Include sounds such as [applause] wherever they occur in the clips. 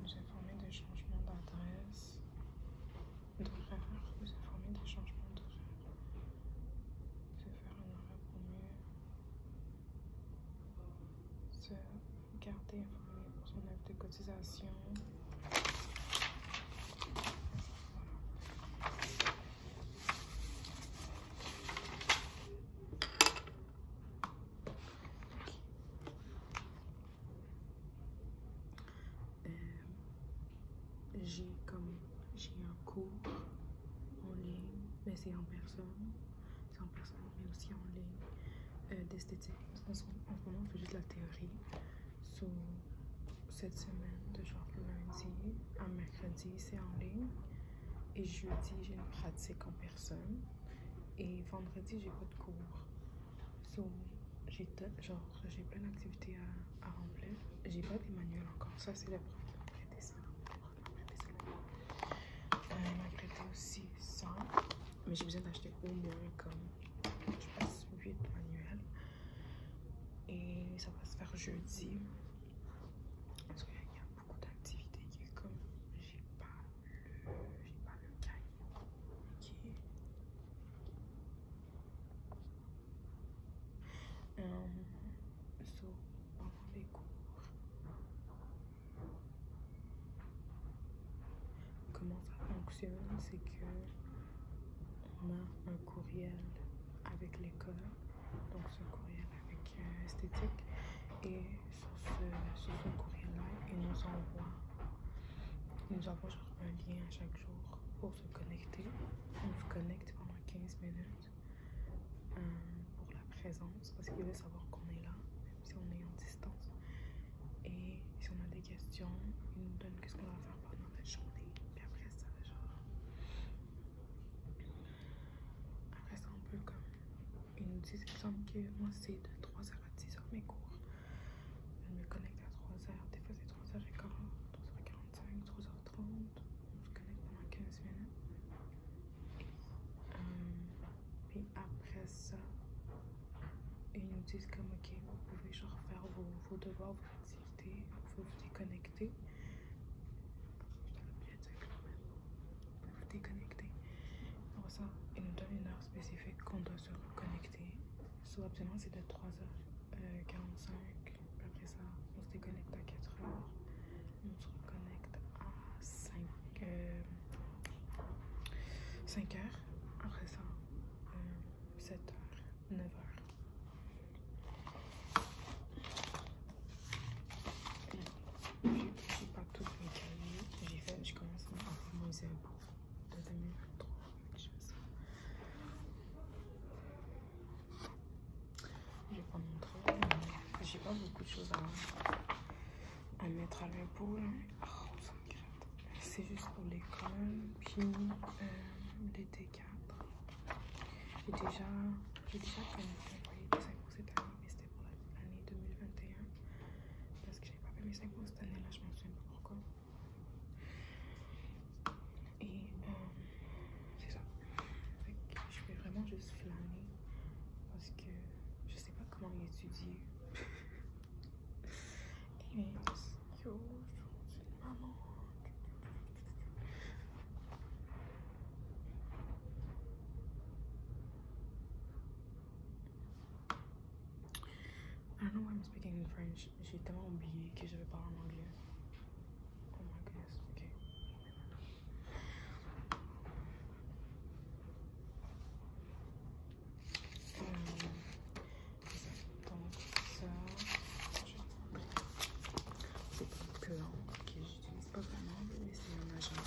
vous informer des changements d'adresse, d'horaire, vous informer des changements d'horaire, se faire un horaire pour mieux se garder informé pour son œuvre de cotisation. Euh, j'ai comme j'ai un cours en ligne, mais c'est en personne. C'est en personne, mais aussi en ligne euh, d'esthétique. En ce moment, on fait juste la théorie. sur cette semaine, de genre lundi à mercredi, c'est en ligne. Et jeudi, j'ai une pratique en personne. Et vendredi, j'ai pas de cours. So, j'ai genre, j'ai plein d'activités à, à, remplir. J'ai pas des manuels encore. Ça, c'est la preuve m'a ça. Euh, elle m'a prêté aussi ça. Mais j'ai besoin d'acheter au moins comme, je 8 manuels. Et ça va se faire jeudi beaucoup d'activités qui est comme j'ai pas le j'ai pas le cahier qui euh, les cours comment ça fonctionne c'est que on a un courriel avec l'école donc ce courriel avec euh, esthétique et sur ce, sur courrier-là, il nous envoie, nous envoie genre un lien à chaque jour pour se connecter. On se connecte pendant 15 minutes euh, pour la présence parce qu'il veut savoir qu'on est là, même si on est en distance. Et si on a des questions, il nous donne qu'est-ce qu'on va faire pendant la journée. Et après ça, genre. Après ça, on peut comme ils nous disent, il semble que moi c'est de 3h à 10h mes cours. Je me connecte à 3h, des fois c'est 3 h 40 3h45, 3h30. On se connecte pendant 15 minutes. Et euh, puis après ça, ils nous disent comme ok, vous pouvez genre faire vos, devoirs, vos activités, vous vous déconnecter. même vous déconnecter. Pour ça, il nous donne une heure spécifique qu'on doit se reconnecter. Soit optionnellement, c'est de 3h45. Euh, Après ça, on se déconnecte à 4h. On se reconnecte à 5, 5h. Euh, Après ça, 7h, euh, 9h j'ai pas tous mes cahiers. J'ai fait, je commence à commencer pour de 2023, Je vais pas montrer, mais j'ai pas beaucoup de choses à, mettre à l'impôt. Oh, C'est juste pour l'école, puis l'été les D4. J'ai déjà, déjà planifié un loyer de 5 pour cette année, mais c'était pour l'année 2021 parce que j'ai pas fait mes impôts cette année-là, je m'en souviens pas encore. Et c'est ça. que je vais vraiment juste flâner parce que je sais pas comment étudier. [laughs] Et yo, maman. I don't know why I'm speaking in French. I'm oublié que je vais parler en anglais. Oh my goodness, okay. Euh, donc ça, c'est plus j'utilise pas vraiment, mais c'est mon agenda.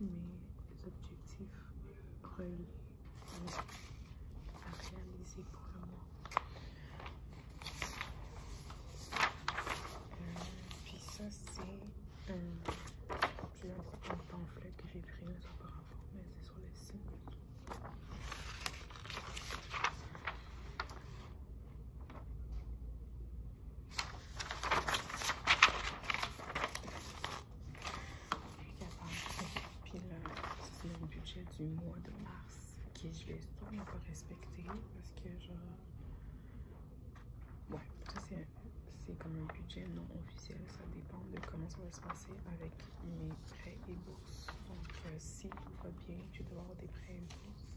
mes objectifs reliés à réaliser pour le moment. Et puis ça c'est j'ai j'ai un petit pamphlet que j'ai pris auparavant, mais c'est sur les signes. Puis là, c'est le budget du mois de mars que je l'ai sûrement pas respecté parce que genre Ouais, ça c'est comme un budget non officiel. Ça dépend de comment ça va se passer avec mes prêts et bourses. Donc euh, si tout va bien, tu dois avoir des prêts et bourses.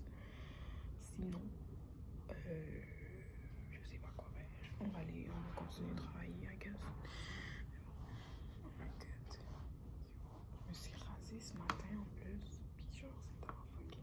Sinon, je euh, je sais pas quoi faire. On va aller, on va continuer de travailler, à guess. Oh je me suis rasée ce matin en plus. Puis genre, c'est fucking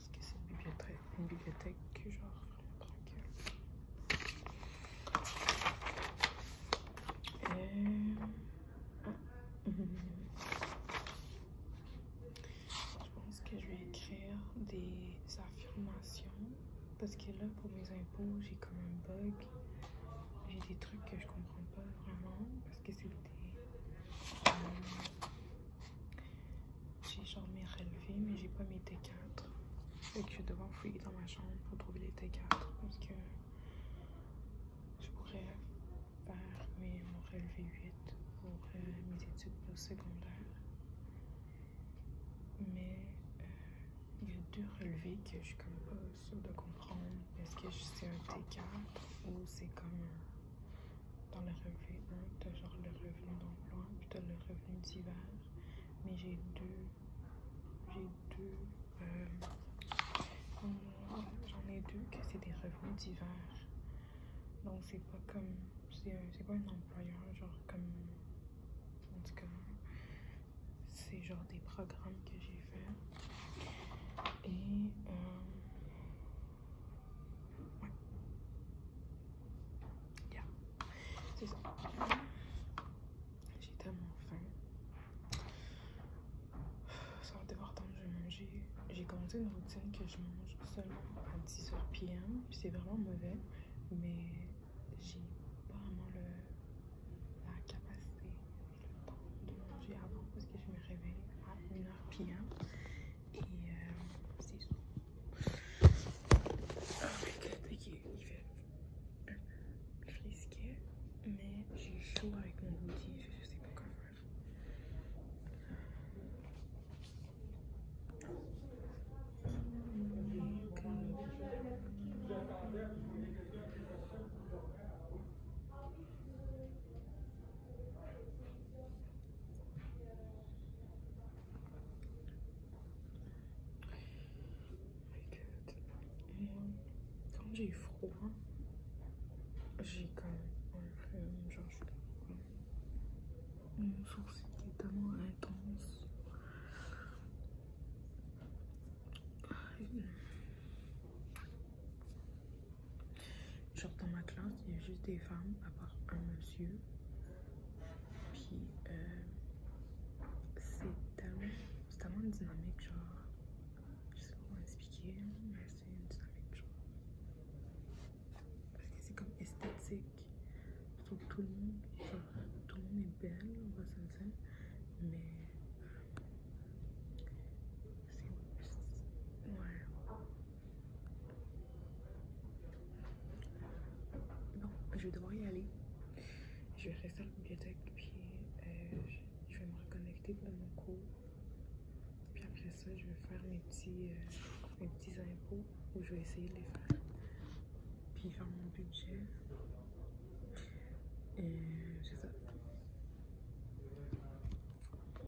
parce que c'est une bibliothèque, que genre Je pense que je vais écrire des affirmations parce que là pour mes impôts j'ai comme un bug. J'ai des trucs que je comprends pas vraiment parce que c'est des. Euh, j'ai genre mes relevés, mais j'ai pas mes T4. Fait que je vais devoir fouiller dans ma chambre pour trouver les T4 parce que je pourrais faire mes, mon relevé 8 pour euh, mes études postsecondaires. Mais euh, il y a deux relevés que je suis comme pas sûre de comprendre. Est-ce que c'est un T4 ou c'est comme dans le revenu 1, t'as genre le revenu d'emploi, puis tu le revenu d'hiver. Mais j'ai deux. J'ai deux. Euh, j'en ai deux que c'est des revenus d'hiver. Donc c'est pas comme. C'est euh, pas un employeur, genre comme. En C'est genre des programmes que j'ai fait. Et. Euh, Yeah. C'est ça. J'ai tellement faim. Ça va devoir temps que je mange. J'ai commencé une routine que je mange seulement à 10h p.m. C'est vraiment mauvais, mais j'ai pas vraiment la capacité et le temps de manger avant parce que je me réveille à 1h p.m. Et euh, c'est ça. Oh my god, ok, il fait un peu mais j'ai chaud avec mon body, je sais pas quoi faire. Quand j'ai eu froid, j'ai quand même un peu genre je suis mon sourcil est tellement intense. Ah, Genre dans ma classe, il y a juste des femmes à part un monsieur. Puis euh, c'est tellement, tellement une dynamique, genre, je sais pas comment expliquer, mais c'est une dynamique, genre. Parce que c'est comme esthétique. Je que tout le monde, tout le monde est belle, on va se le dire. Mais euh, c'est ouais. Bon, je vais devoir y aller. Je vais rester à la bibliothèque, puis euh, je vais me reconnecter dans mon cours. Puis après ça, je vais faire mes petits, euh, mes petits impôts, où je vais essayer de les faire. Puis faire mon budget. Et c'est ça.